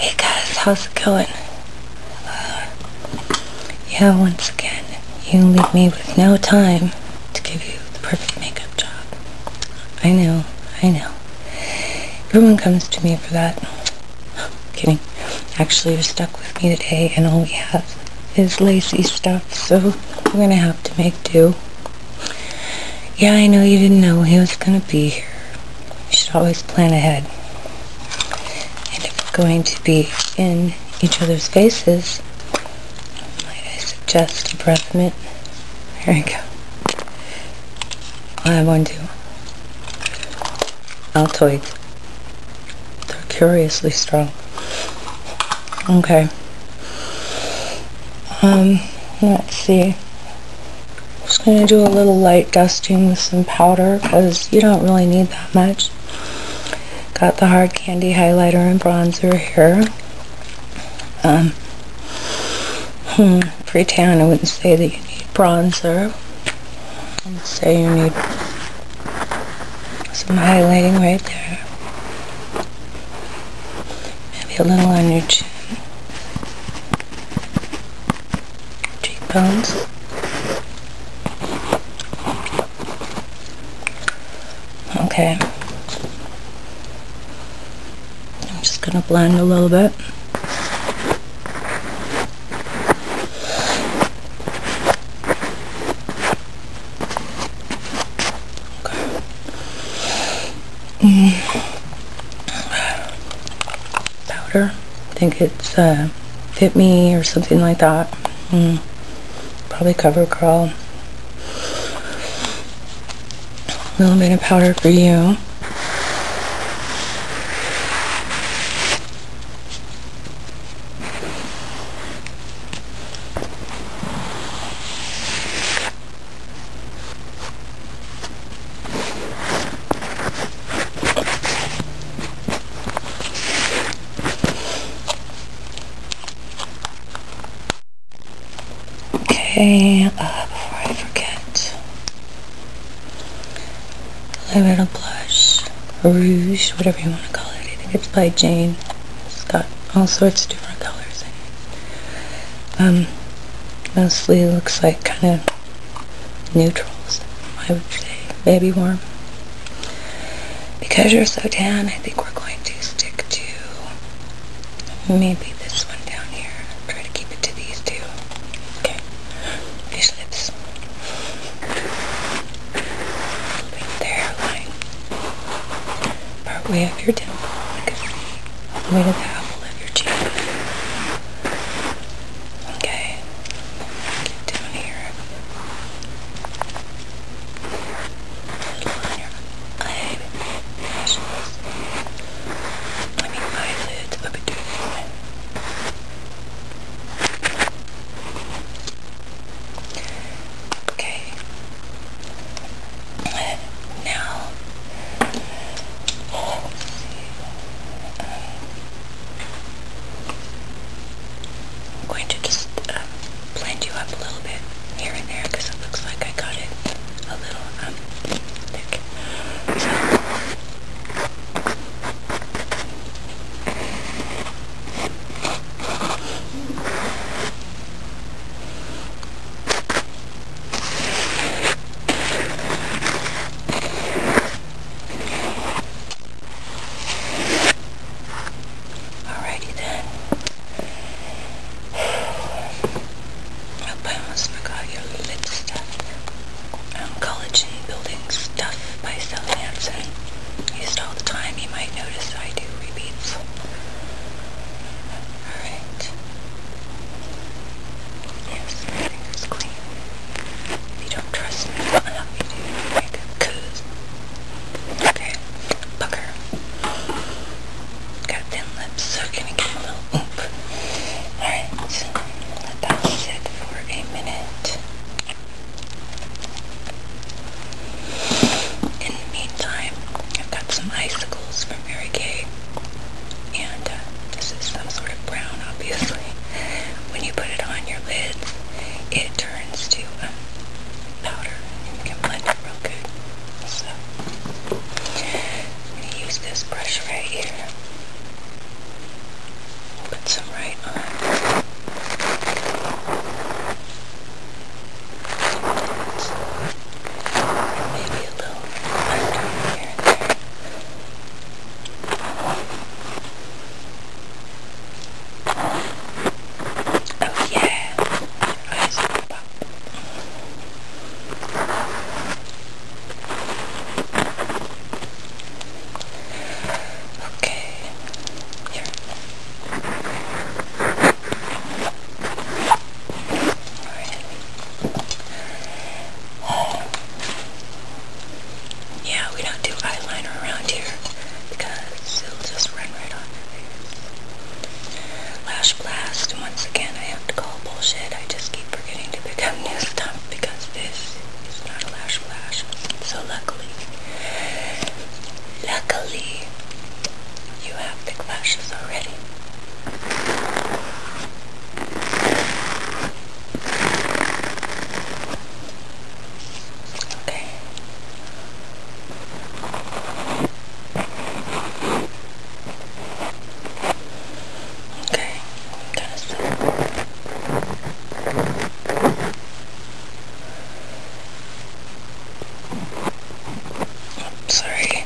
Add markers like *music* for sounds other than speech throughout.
Hey guys, how's it going? Uh, yeah, once again, you leave me with no time to give you the perfect makeup job. I know, I know. Everyone comes to me for that kidding. Actually, you're stuck with me today, and all we have is lacy stuff, so we're gonna have to make do. Yeah, I know you didn't know he was gonna be here. You should always plan ahead. And if we're going to be in each other's faces, might I suggest a breath mint? Here we go. I have one too. Altoids. They're curiously strong. Okay. Um, let's see. just going to do a little light dusting with some powder because you don't really need that much. Got the hard candy highlighter and bronzer here. Um, hmm, tan I wouldn't say that you need bronzer. And say you need some highlighting right there. Maybe a little on your chin. Cheekbones. Okay. I'm just going to blend a little bit. Powder. I think it's uh, Fit Me or something like that. Mm. Probably CoverGirl. A little bit of powder for you. Okay, uh, before I forget, eyeliner blush, rouge, whatever you want to call it. I think it's by Jane. It's got all sorts of different colors in it. Um, mostly looks like kind of neutrals, I would say. Baby warm. Because you're so tan, I think we're going to stick to maybe this one down here. Try to keep it to these two. Okay these lips. Right there, lying part way up your temple. Like a way to the apple of your cheek. Okay. Get down here. Little on your eyelashes. I mean eyelids up to Okay. now, I'm going to just um, blend you up a little bit here and there because it looks like I got it a little um, thick. Alrighty then. *sighs* I almost forgot your lip stuff um, college building stuff by Sal Hansen. Used all the time. You might notice I do repeats. Alright. Yes, everything's clean. If you don't trust me, I'll help Cause... Okay. Pucker. Got thin lips, so can I get a little oop? Alright. Let that sit for a minute. In the meantime, I've got some icicles from Mary Kay. And uh, this is some sort of brown, obviously. When you put it on your lids, it turns to um, powder. And you can blend it real good. So, I'm going to use this brush right here. Put some right on. Maybe a little darker here and there. Oh yeah, eyes pop. Okay, here. Alright. Um, yeah, we don't do eyeliner around here because it'll just run right on Lash Blast, once again, I have to call bullshit. I just keep forgetting to pick up new stuff because this is not a lash blast. So luckily, luckily, you have the lashes already. Okay. Okay. I'm sorry.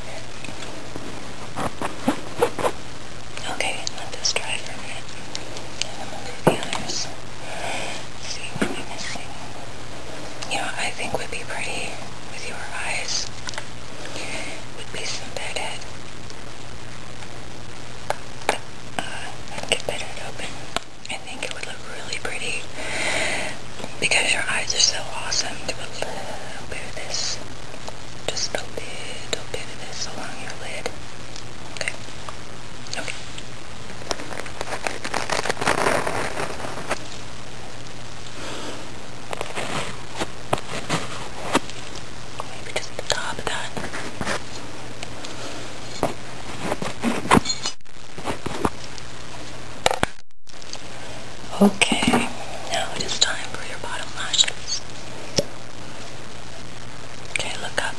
Okay, let this dry for a minute. And then we'll do the others. See what we're missing. You know, I think would be pretty with your eyes would be some bedhead uh, get better at I think it would look really pretty because your eyes are so awesome. Do a little bit of this, just a little bit of this along your lid. Okay. Okay. Maybe just the top of that. Okay, now it is time for your bottom lashes. Okay, look up.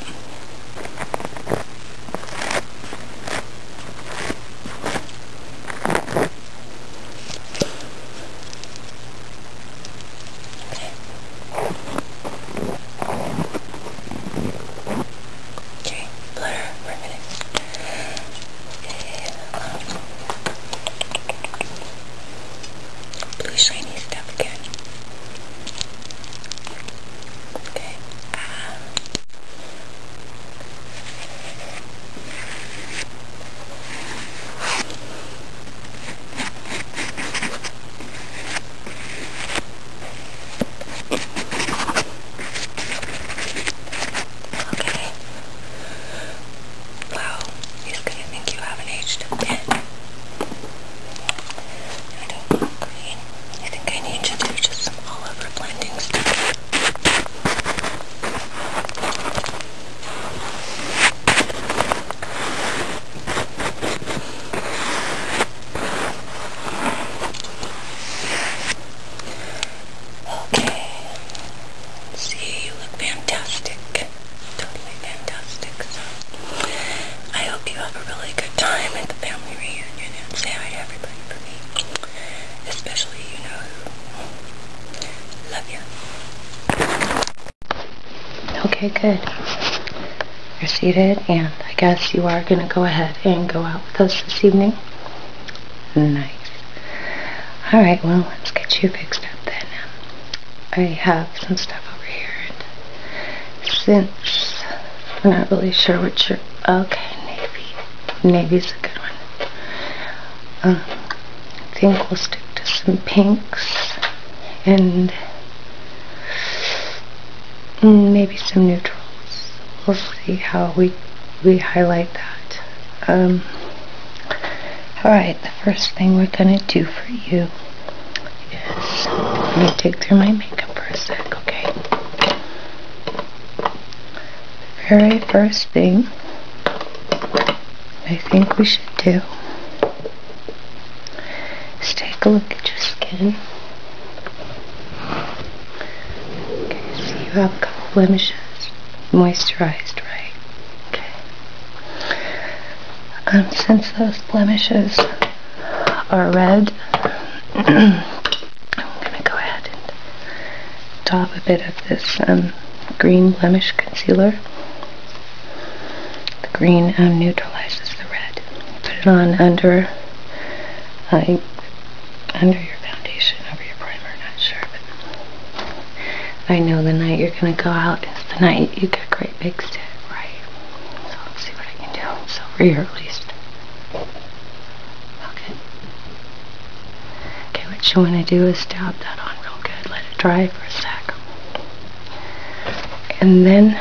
Okay, blur for a minute. Um, blue shiny stuff again. Okay. Um, Okay. Wow, he's gonna think you haven't aged a bit. I don't agree. I think I need to do just some all over blending stuff. Okay. See, you look fantastic. Totally fantastic. I hope you have a really good time at the family reunion say hi to everybody for me. Especially you know who. Love you. Okay, good. You're seated, and I guess you are going to go ahead and go out with us this evening. Nice. Alright, well, let's get you fixed up then. I have some stuff over here, since we're not really sure what you're... Okay, navy. Navy's a good one. Um, I think we'll stick to some pinks, and Mm, maybe some neutrals. We'll see how we we highlight that. Um, alright, the first thing we're going to do for you is let me take through my makeup for a sec, okay? very first thing I think we should do Let's take a look at your skin. Okay, so you have a couple blemishes. Moisturized, right? Okay. Um, since those blemishes are red, *clears throat* I'm going to go ahead and top a bit of this um, green blemish concealer the green um, neutralizes the red. Put it on under uh, under your foundation, over your primer, not sure, but I know the night you're going to go out is the night you get great big set, right? So let's see what I can do. It's over here at least. Okay. Okay, what you want to do is dab that on real good. Let it dry for a sec and then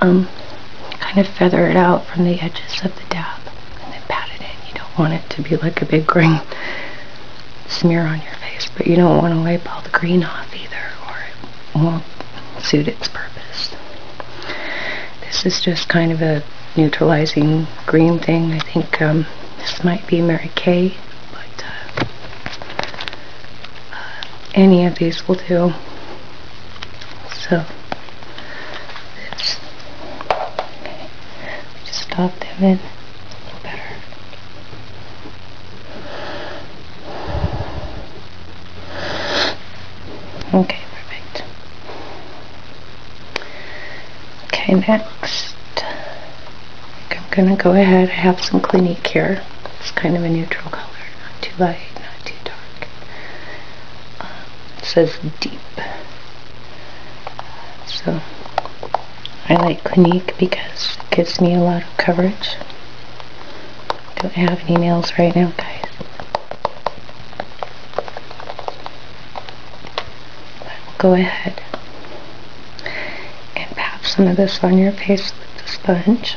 um, kind of feather it out from the edges of the dab and then pat it in. You don't want it to be like a big green *laughs* smear on your face, but you don't want to wipe all the green off either or it won't suit its purpose. This is just kind of a neutralizing green thing. I think um, this might be Mary Kay, but uh, any of these will do. So Just stop them in a little better. Okay, perfect. Okay, next I'm going to go ahead I have some Clinique here. It's kind of a neutral color, not too light, not too dark. Um, it says deep. So I like Clinique because it gives me a lot of coverage. Don't have any nails right now, guys. go ahead and pat some of this on your face with the sponge.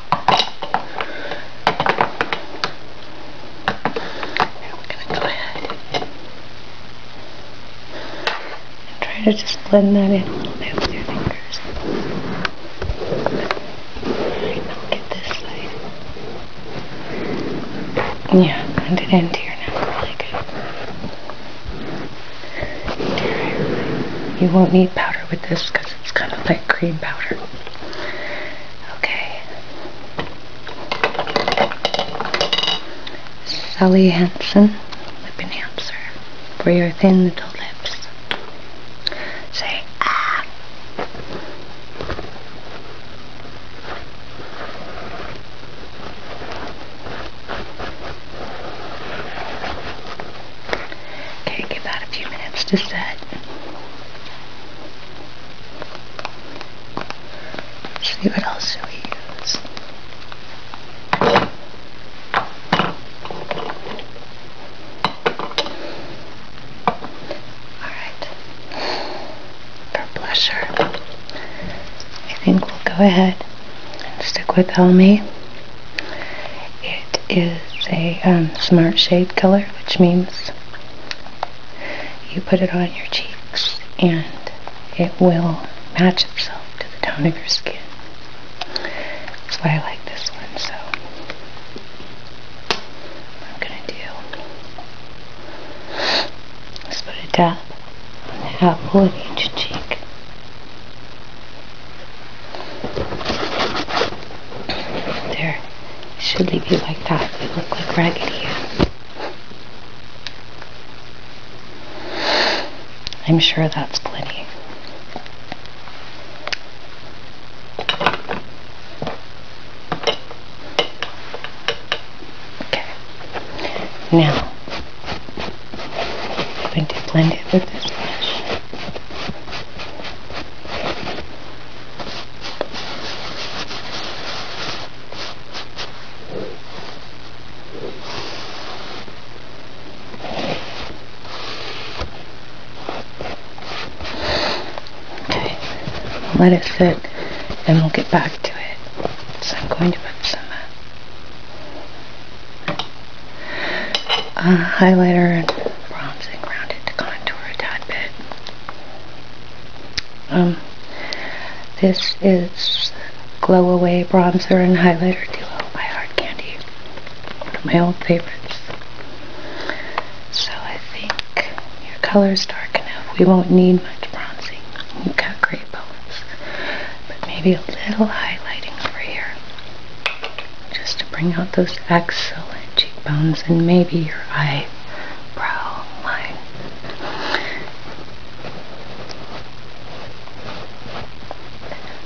we're going to go ahead and try to just blend that in a little bit with your fingers. Alright, now get this Yeah, blend it into your neck really good. You won't need powder with this because it's kind of like cream powder. Okay. Sally Hansen Lip Enhancer for your thin little lips. Say ah. Okay, give that a few minutes to set. See what else use? Alright. For blusher, I think we'll go ahead and stick with Helmi. It is is a um, smart shade color, which means you put it on your cheeks and it will match itself to the tone of your skin. That's why I like this one. So I'm going to do is put a dab on the apple of each cheek. There. should leave you like that. They look like Raggedy Ann. I'm sure that's plenty. Okay. Now, I'm going to blend it with this Okay, let it sit and we'll get back to it. So I'm going to put some uh, uh highlighter and bronzing around it to contour a tad bit. Um, this is Glow Away Bronzer and Highlighter Duo by Hard Candy. One of my old favorites. So I think your is dark enough. We won't need much bronzing. You've got great bones. But maybe a little highlighting over here. Just bring out those excellent cheekbones and maybe your eyebrow line.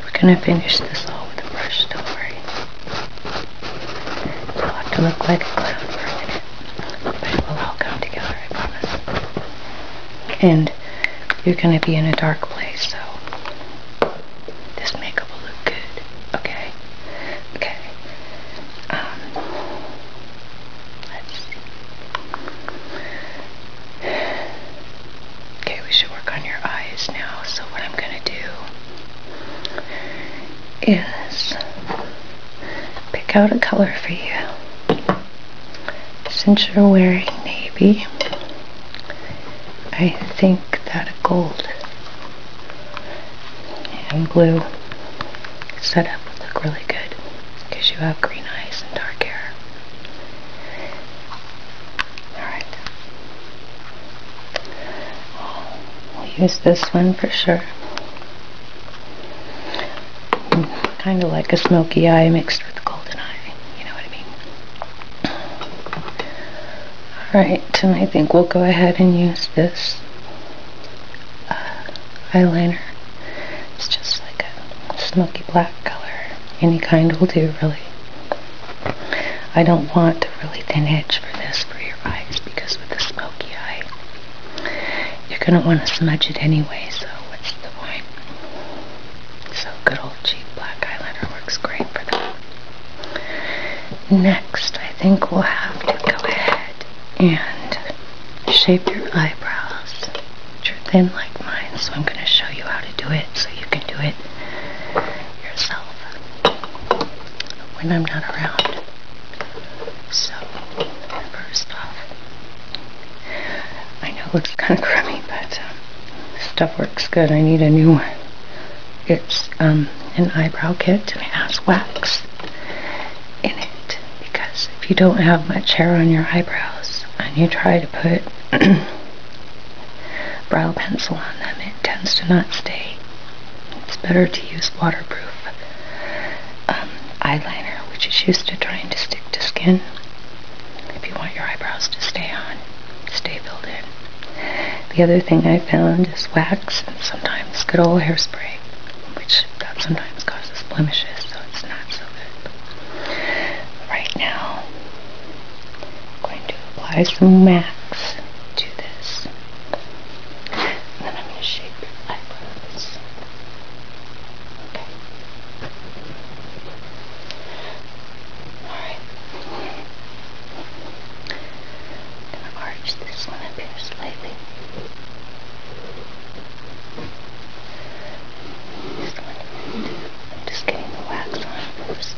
We're going to finish this all with a brush, story. not worry. it to look like a clown for a minute, but it will all come together, I promise. And you're going to be in a dark place, so this makeup will look good. Okay. Okay. Um Okay, we should work on your eyes now. So what I'm gonna do is pick out a color for you. Since you're wearing navy, I think that a gold and blue set up would look really good because you have green eyes and dark hair. Alright. We'll use this one for sure. Kind of like a smoky eye mixed with golden eye. You know what I mean? Alright, and I think we'll go ahead and use this uh, eyeliner. It's just like a smoky black color. Any kind will do, really. I don't want a really thin edge for this for your eyes because with the smoky eye, you're going to want to smudge it anyway, so what's the point? So good old cheap black eyeliner works great for that. Next, I think we'll have to go ahead and shape your eyebrows, which are thin like mine, so I'm going to show you how to do it so you can do it yourself when I'm not around. So, first off, I know it looks kind of crummy, but um, stuff works good. I need a new one. It's, um, an eyebrow kit and has wax in it because if you don't have much hair on your eyebrows and you try to put *clears throat* brow pencil on them it tends to not stay it's better to use waterproof um, eyeliner which is used to trying to stick to skin if you want your eyebrows to stay on stay filled in the other thing I found is wax and sometimes good old hairspray, which that sometimes causes blemishes, so it's not so good. right now, I'm going to apply some wax to this. And then I'm going to shape your eyebrows. Okay. Alright. I'm going to arch this one up here slightly. This one. I'm just getting the wax on first.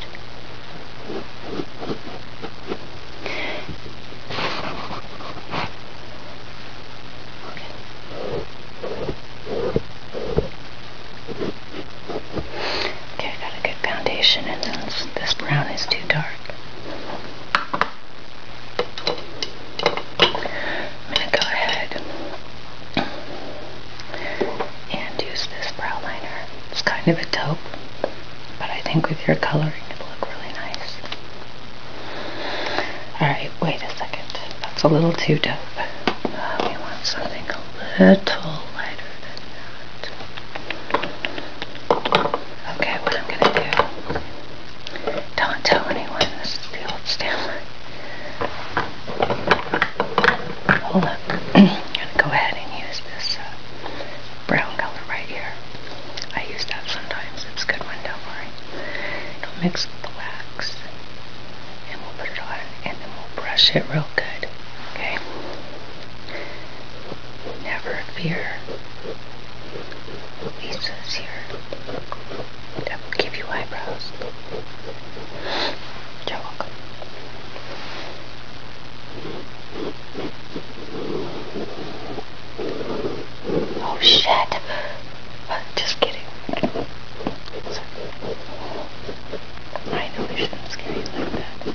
Okay. okay, I got a good foundation and then this brown is too dark. I'm going to go ahead and use this brow liner. It's kind of a taupe, but I think with your coloring it'll look really nice. Alright, wait a second. That's a little too taupe. Uh, we want something a little lighter than that. Okay, what I'm gonna do, don't tell anyone, this is the old Stanley. Hold up, I'm gonna go ahead and use this uh, brown color right here. I use that sometimes, it's a good one, don't worry. It'll mix with the wax, and we'll put it on, and then we'll brush it real good, okay? never fear, pieces here that will give you eyebrows. You're welcome. Oh shit! *laughs* Just kidding. Sorry. I know I shouldn't scare you like that.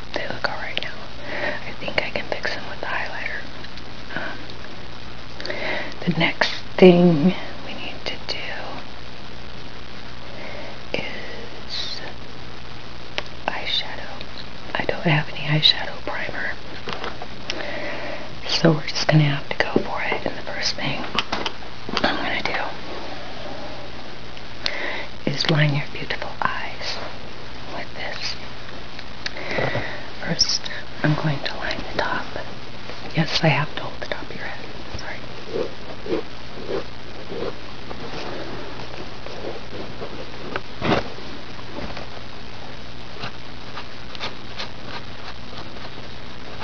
They look alright now. I think I can fix them with the highlighter. Um, the next thing we need to do is eyeshadow. I don't have any eyeshadow primer. So we're just going to have to go for it. And the first thing I'm going to do is line your beautiful eyes with this. First, I'm going to line the top. Yes, I have to hold the top of your head. Sorry.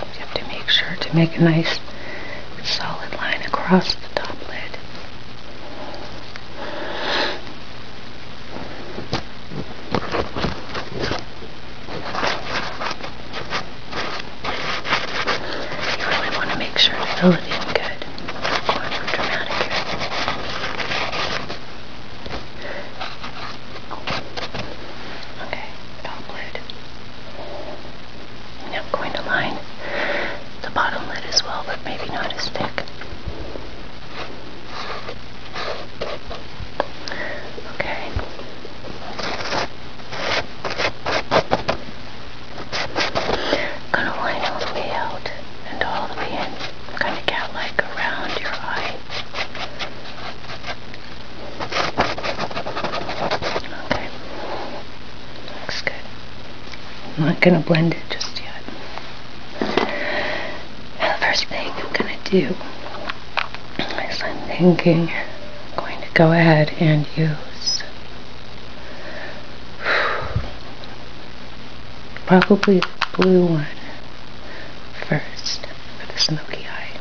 You have to make sure to make a nice solid line across the top lid. You really want to make sure to fill it in good. Going for dramatic here. Okay, all glued. Now I'm going to line the bottom lid as well, but maybe not as thick. Okay. Gonna line all the way out and all the way in. Kind of cat like around your eye. Okay. Looks good. I'm not gonna blend it just yet. The first thing I'm going to do is I'm thinking I'm going to go ahead and use probably blue one first for the smoky eye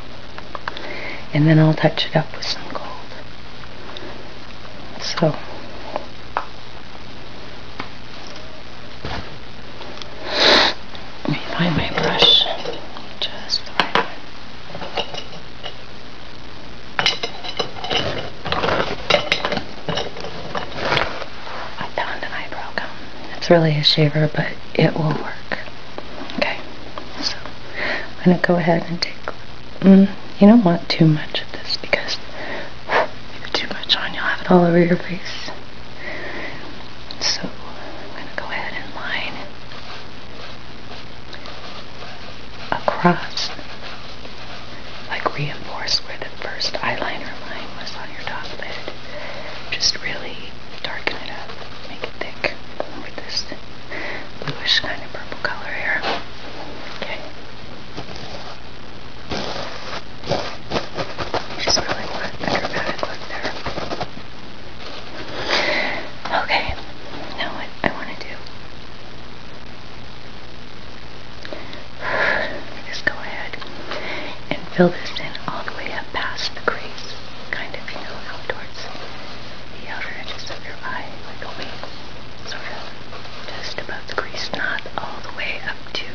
and then I'll touch it up with some gold so let me find my brush. Just right I found an eyebrow gum. It's really a shaver, but it will work. Okay, so I'm going to go ahead and take... Mm, you don't want too much of this because if too much on, you'll have it all over your face. So I'm going to go ahead and line across, like reinforce where the first eyeliner line was on your top lid. Just really darken it up, make it thick with this bluish kind of purple color here. Okay. Just really want a dramatic look there. Okay, now what I want to do is *sighs* go ahead and fill this in all the way up past the crease, kind of, you know, out towards the outer edges of your eye, like a wing, sort of, just about of the grease not all the way up to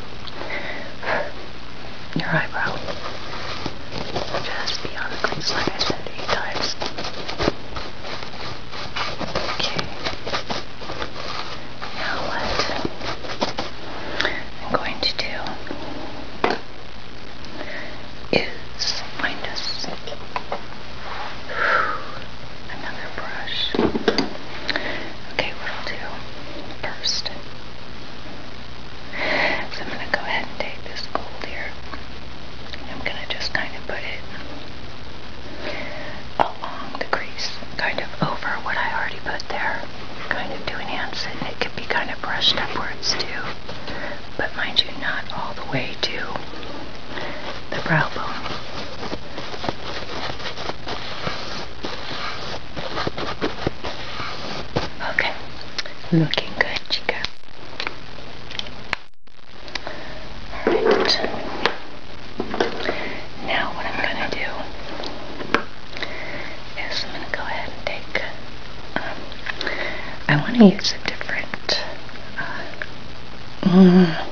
your eyebrow. Just be the grease, like I said, eight times. Okay. Now what I'm going to do is find us another brush. Okay, what I'll do first. So I'm going to go ahead and take this gold here. I'm going to just kind of put it along the crease, kind of over what I already put there, kind of to enhance And it could be kind of brushed upwards too, but mind you, not all the way to the brow bone. Okay, looking good, Chica. Alright. Now what I'm gonna do is I'm gonna go ahead and take um, I wanna use a different uh, mm.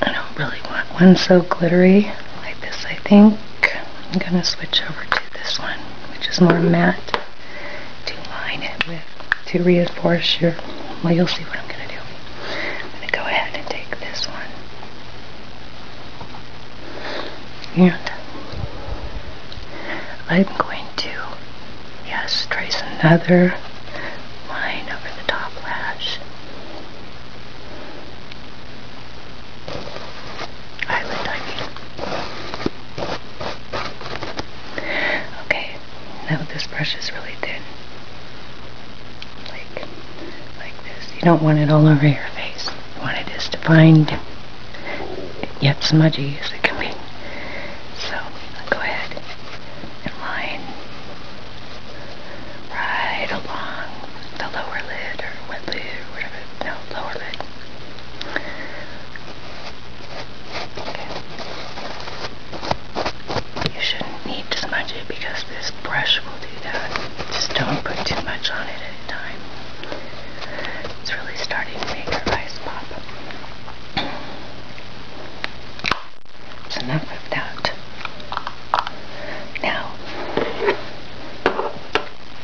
I don't really want one so glittery like this, I think. I'm going to switch over to this one, which is more matte, to line it with, to reinforce your, well, you'll see what I'm going to do. I'm going to go ahead and take this one. And I'm going to, yes, trace another line over the top lash. Island Okay, now this brush is really thin. Like, like this. You don't want it all over your face. You want it as defined, yet smudgy as it can be. So, go ahead and line right along the lower lid or wet lid or whatever. No, lower lid. Okay. You shouldn't need to smudge it because this brush will do that. Just don't put too much on it at a time. It's really starting to make her eyes pop. So enough of that. Now,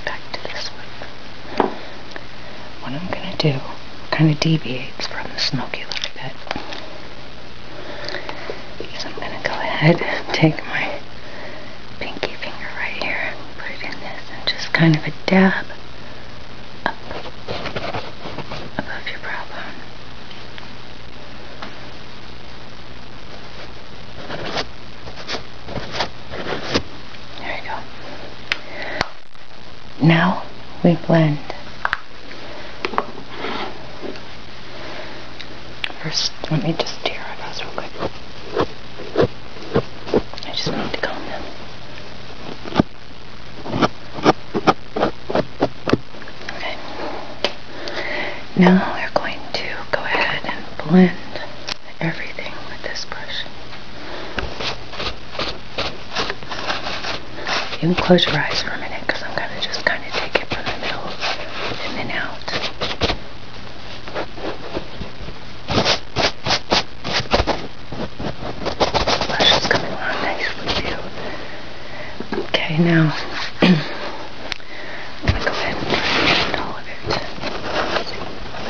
back to this one. What I'm going to do kind of deviates from the smoky a little bit. Is I'm going to go ahead and take my pinky finger right here and put it in this and just kind of a dab up above your brow bone. There we go. Now we blend. First, let me just tear it out real quick. I just need to calm down. Okay. Now we're going to go ahead and blend everything with this brush. You can close your eyes for a minute because I'm going to just kind of take it from the middle and out. The blush is coming on nicely Okay, now *clears throat* I'm go ahead and brush all of it. See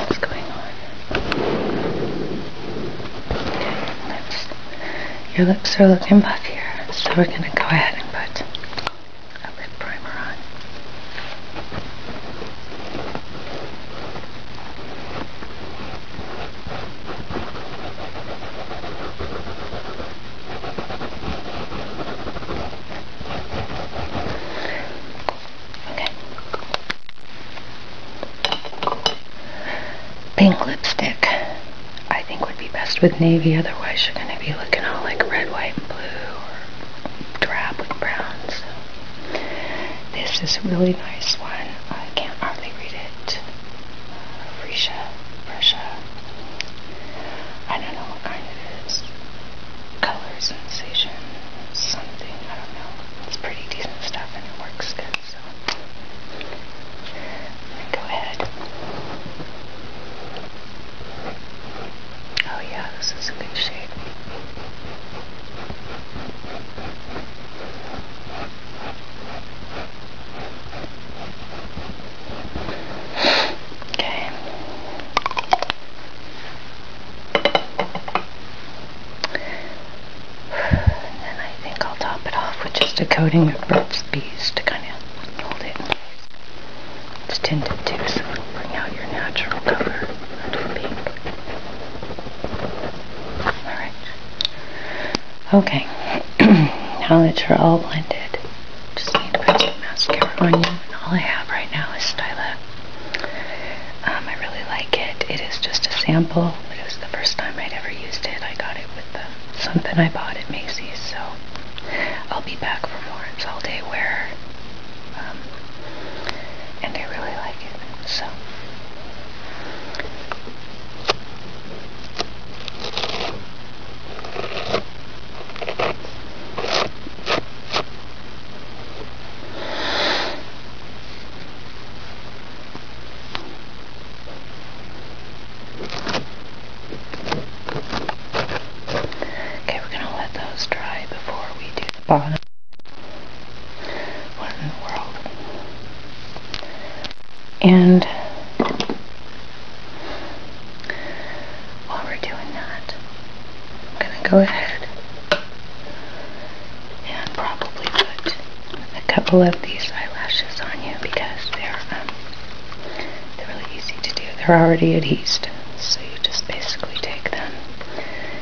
what's going on. Your lips are looking buff so we're gonna go ahead and put a lip primer on. Okay. Pink lipstick. I think would be best with navy, otherwise you're going to be looking all like red, white, and blue, or drab with brown. this is a really nice one. I can't hardly read it. Uh, Fresha, Fresha. I don't know what kind it is. Color sensation, something, I don't know. It's pretty decent stuff and it works good, so go ahead. Oh yeah, this is a good shape. Okay. And I think I'll top it off with just a coating of Burt's Bees to kind of hold it It's tinted too, so it'll bring out your natural color Alright. Okay. *clears throat* now that you're all blended, just need to put some mascara on you. And all I have right now is Styla. Um, I really like it. It is just a sample, but it was the first time I'd ever used it. I got it with the, something I bought at Macy's, so I'll be back for more. It's all day wear. Um, and I really like it, so. Okay, we're going to let those dry before we do the bottom. What in the world? And while we're doing that, I'm going to go ahead and probably put a couple of these eyelashes on you because they're um, they're really easy to do. They're already adhesed, so you just basically take them.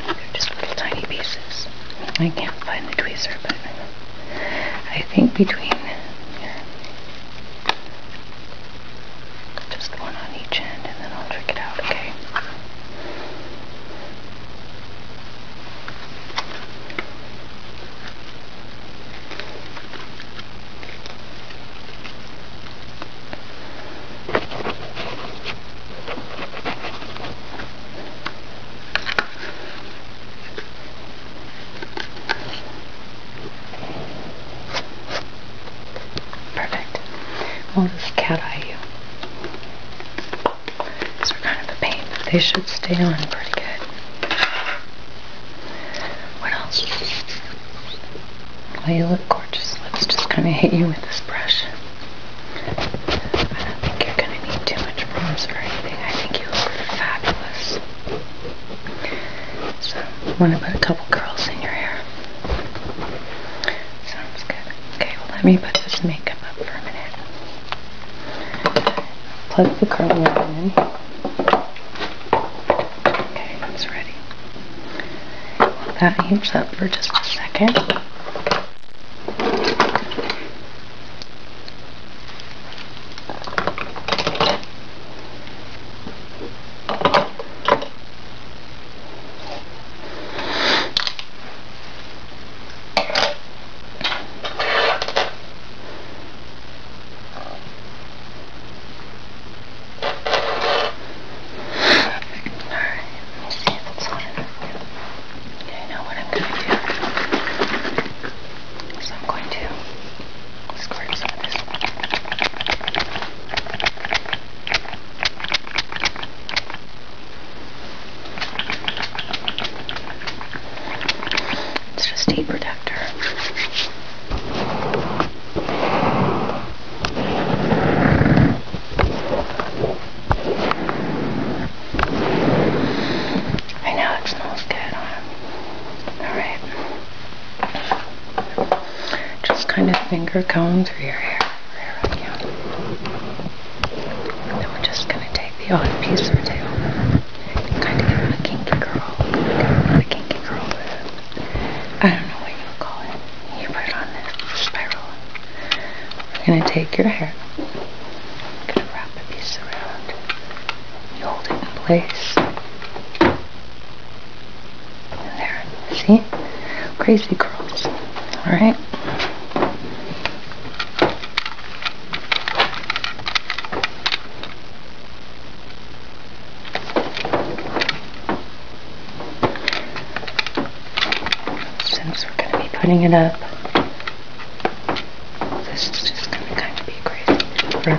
They're just little tiny pieces. I can't find the tweezer, but I think between your just one on each end and then I'll trick it out, okay? Perfect. We'll just cat eye you. These are kind of a pain, they should stay on pretty good. What else? you look gorgeous. Let's just kind of hit you with this brush. I don't think you're going to need too much bronzer I think you look fabulous. So I'm to put a couple curls in your hair. Sounds good. Okay, well let me put this makeup up for a minute. Plug the curl iron in. Okay, it's ready. Well, that heats up for just a second. Okay, now what I'm going to do is I'm going to Let's grab some of this. It's just a protector. I know it smells good on Alright. Just kind of finger comb through your hair And then we're just going to take the odd piece or two. Kind of give them a kinky curl. Kind of give them a kinky curl. I don't know what you would call it. You put it on this spiral. We're going to take your hair. I'm going to wrap a piece around. You hold it in place. There, see? Crazy curls. Alright. Since we're going to be putting it up, this is just going to kind of be crazy.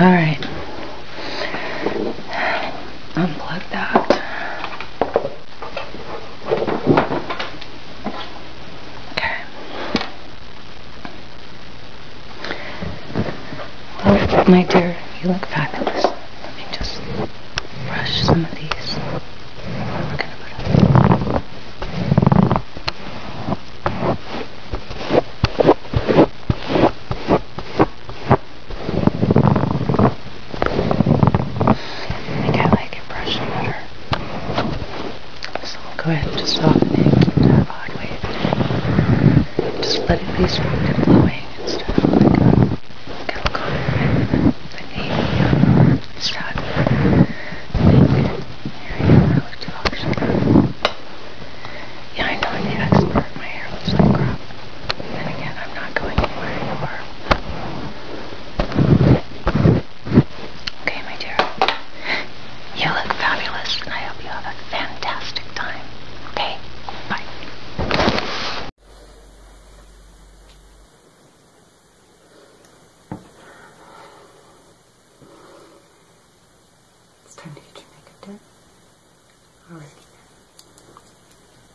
Alright. Unplug that. Okay. Well, oh, my dear, you look fabulous. Let me just brush some of these. I got like a brush and butter. So we'll go ahead and just soften it, keep that odd wave. Just let it be straight and flowing instead of like a chemical wave. Like a start. Yeah, I know I'm the expert. My hair looks like crap. And again, I'm not going anywhere Okay, my dear. You look fabulous, and I hope you have a fantastic time. Okay? Bye. It's time to get your makeup done. All right.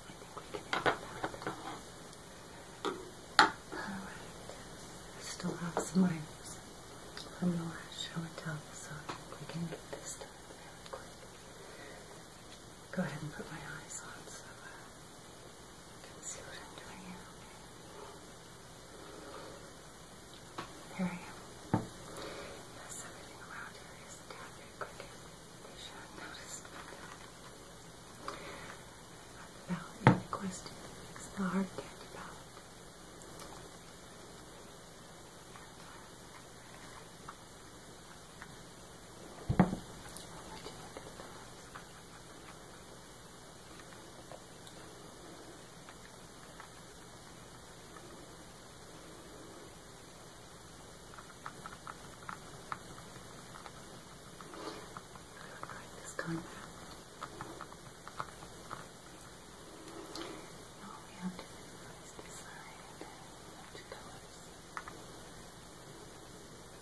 I think we can end that. All right. still have some items from the last show and tell, so I think we can get this done really quick. Go ahead and put my eyes on so uh, you can see what I'm doing here, I am. everything around here is a tad bit crooked. should have noticed by now. But the It's the hard candy ballot. And, this time now all we have to do is decide which colors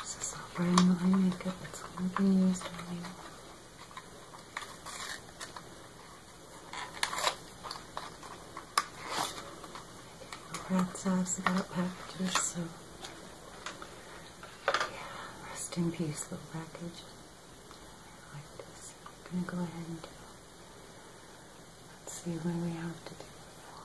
This is not very my makeup, it's only being used on you. We're outside, so got packages, so yeah, rest in peace, little package. I like this. I'm gonna go ahead and do it. Let's see what we have to do before.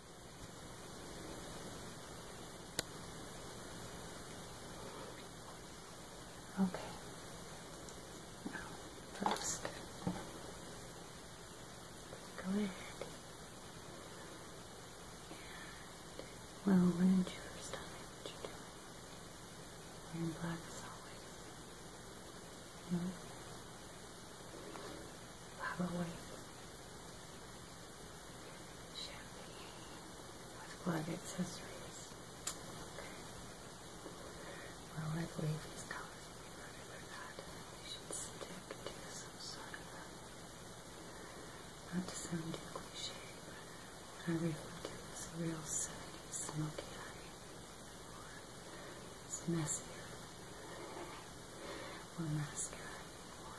Okay. Now, first, go ahead. And we'll rinse your stomach, you're doing. Wearing black as always. You know? Pop away champagne with blood accessories. Okay. Well, I believe these colors will be better than that. We should stick to some sort of, uh, not to sound too cliche, but I refer to this real 70s smoky eye. It's messier. Or mascara. Or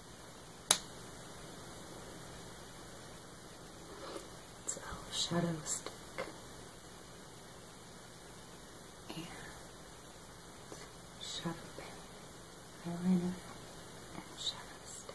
It's shadow stick. And shadow pen, eyeliner, and shadow stick.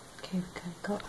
Okay, we're going to go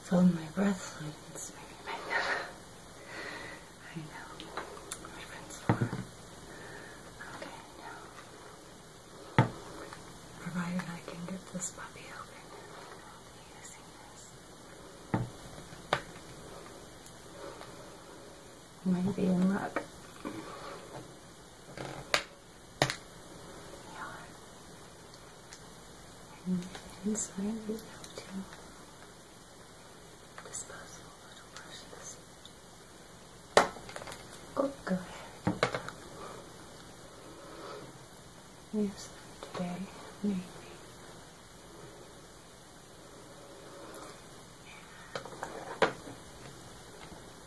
It's all my breath fluids, maybe makeup. I know. My friends for. Okay, now. Provided I can get this puppy open, I'll be in luck and inside we have to disposable little brushes. Oh, go ahead. Yes, today, maybe.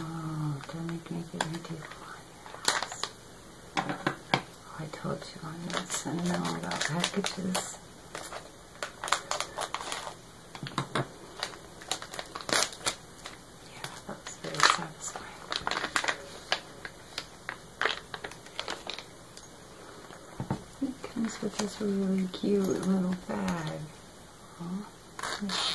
Oh, don't make it into one. Oh, I told you on this. I know about packages. Yeah, that very satisfying. It comes with this really cute little bag. Aww.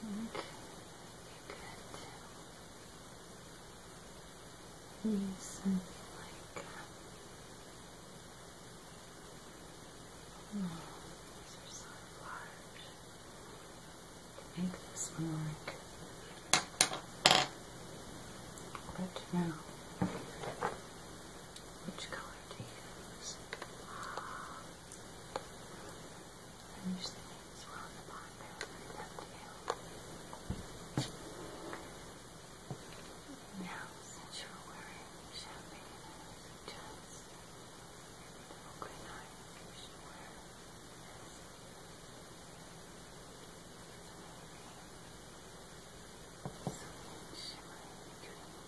think you could use something like oh, these are so large. make this more like But now. Which color do you use? I'm usually as well on the bottom, but I do Now, since you're wearing champagne, I the open eye you should wear so shimmery,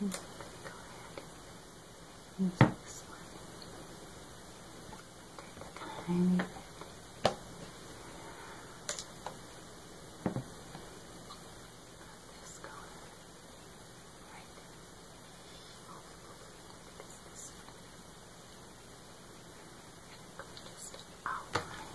I'm going to go ahead and use this one. Take a tiny bit. Just go right over this one. I'm going to just outline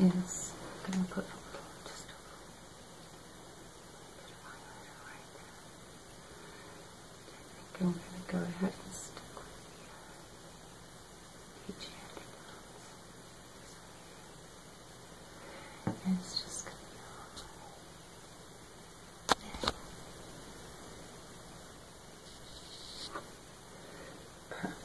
is I'm gonna put a little just a little bit of highlighter right there. And I think I'm gonna go ahead and stick with the uh, the it's just going to be all Perfect.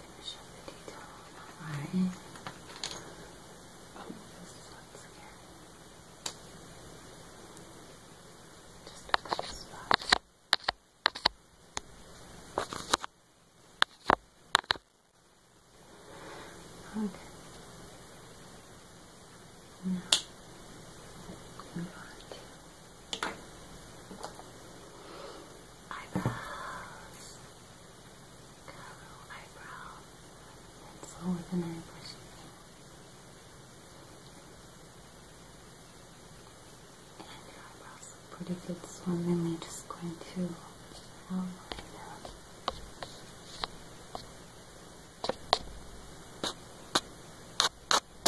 finish up the detail on that eye. Oh, this one's again. Just a couple spots. Okay. Now, I'm going to Eyebrows. Curl eyebrow. Pencil with an airbrush thing. And your eyebrows look pretty good, so I'm really just going to outline them.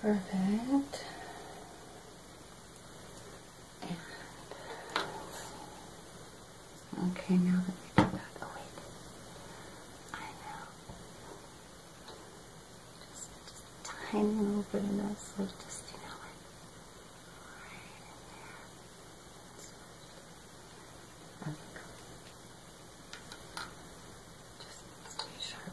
Perfect. okay, now that we do that, oh I know. Just, a tiny little bit of that sleeve, just you know, right in there. Okay, Just stay sharp.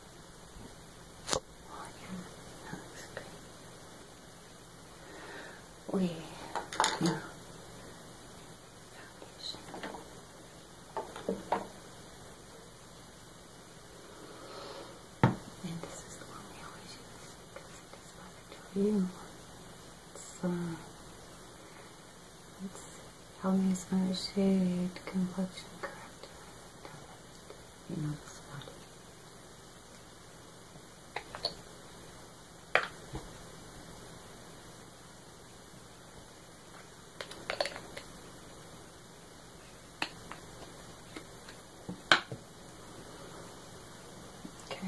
We now foundation. And this is the one because it is my Victorian one. it's Help me my shade, complexion correct. You know the spot. Okay.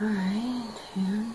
All right, and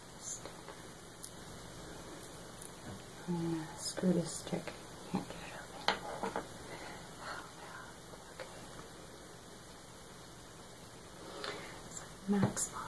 I'm gonna screw this stick. Can't get it open. Oh, okay. max volume.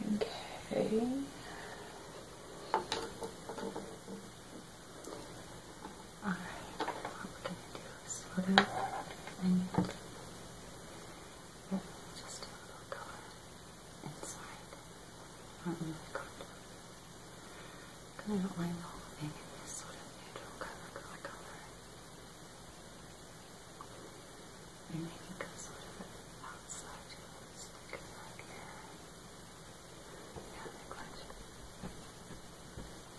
Okay. Alright, what we going to do is sort of blend just a little color inside on the contour. I'm going to outline the sort of neutral color, color. And I think I'm sort of outside of this, like right here. Yeah, they're clenched.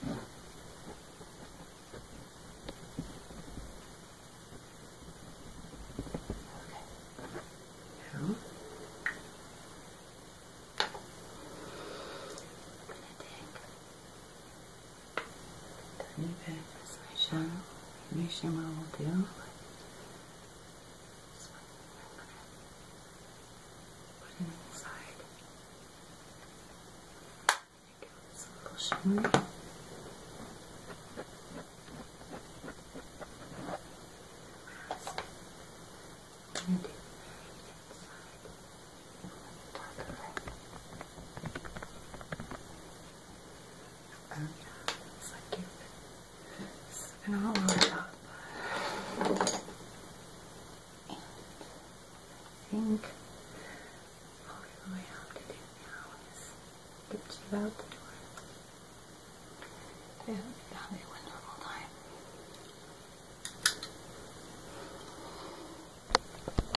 Okay. Now, I'm going to take tiny bit of this Maybe shimmer will do. This I'm gonna put it inside. Give this a little shimmer. I'm Oh yeah, so cute. This has been all over And I think all we really have to do now is get you out the door. I hope you have a wonderful time.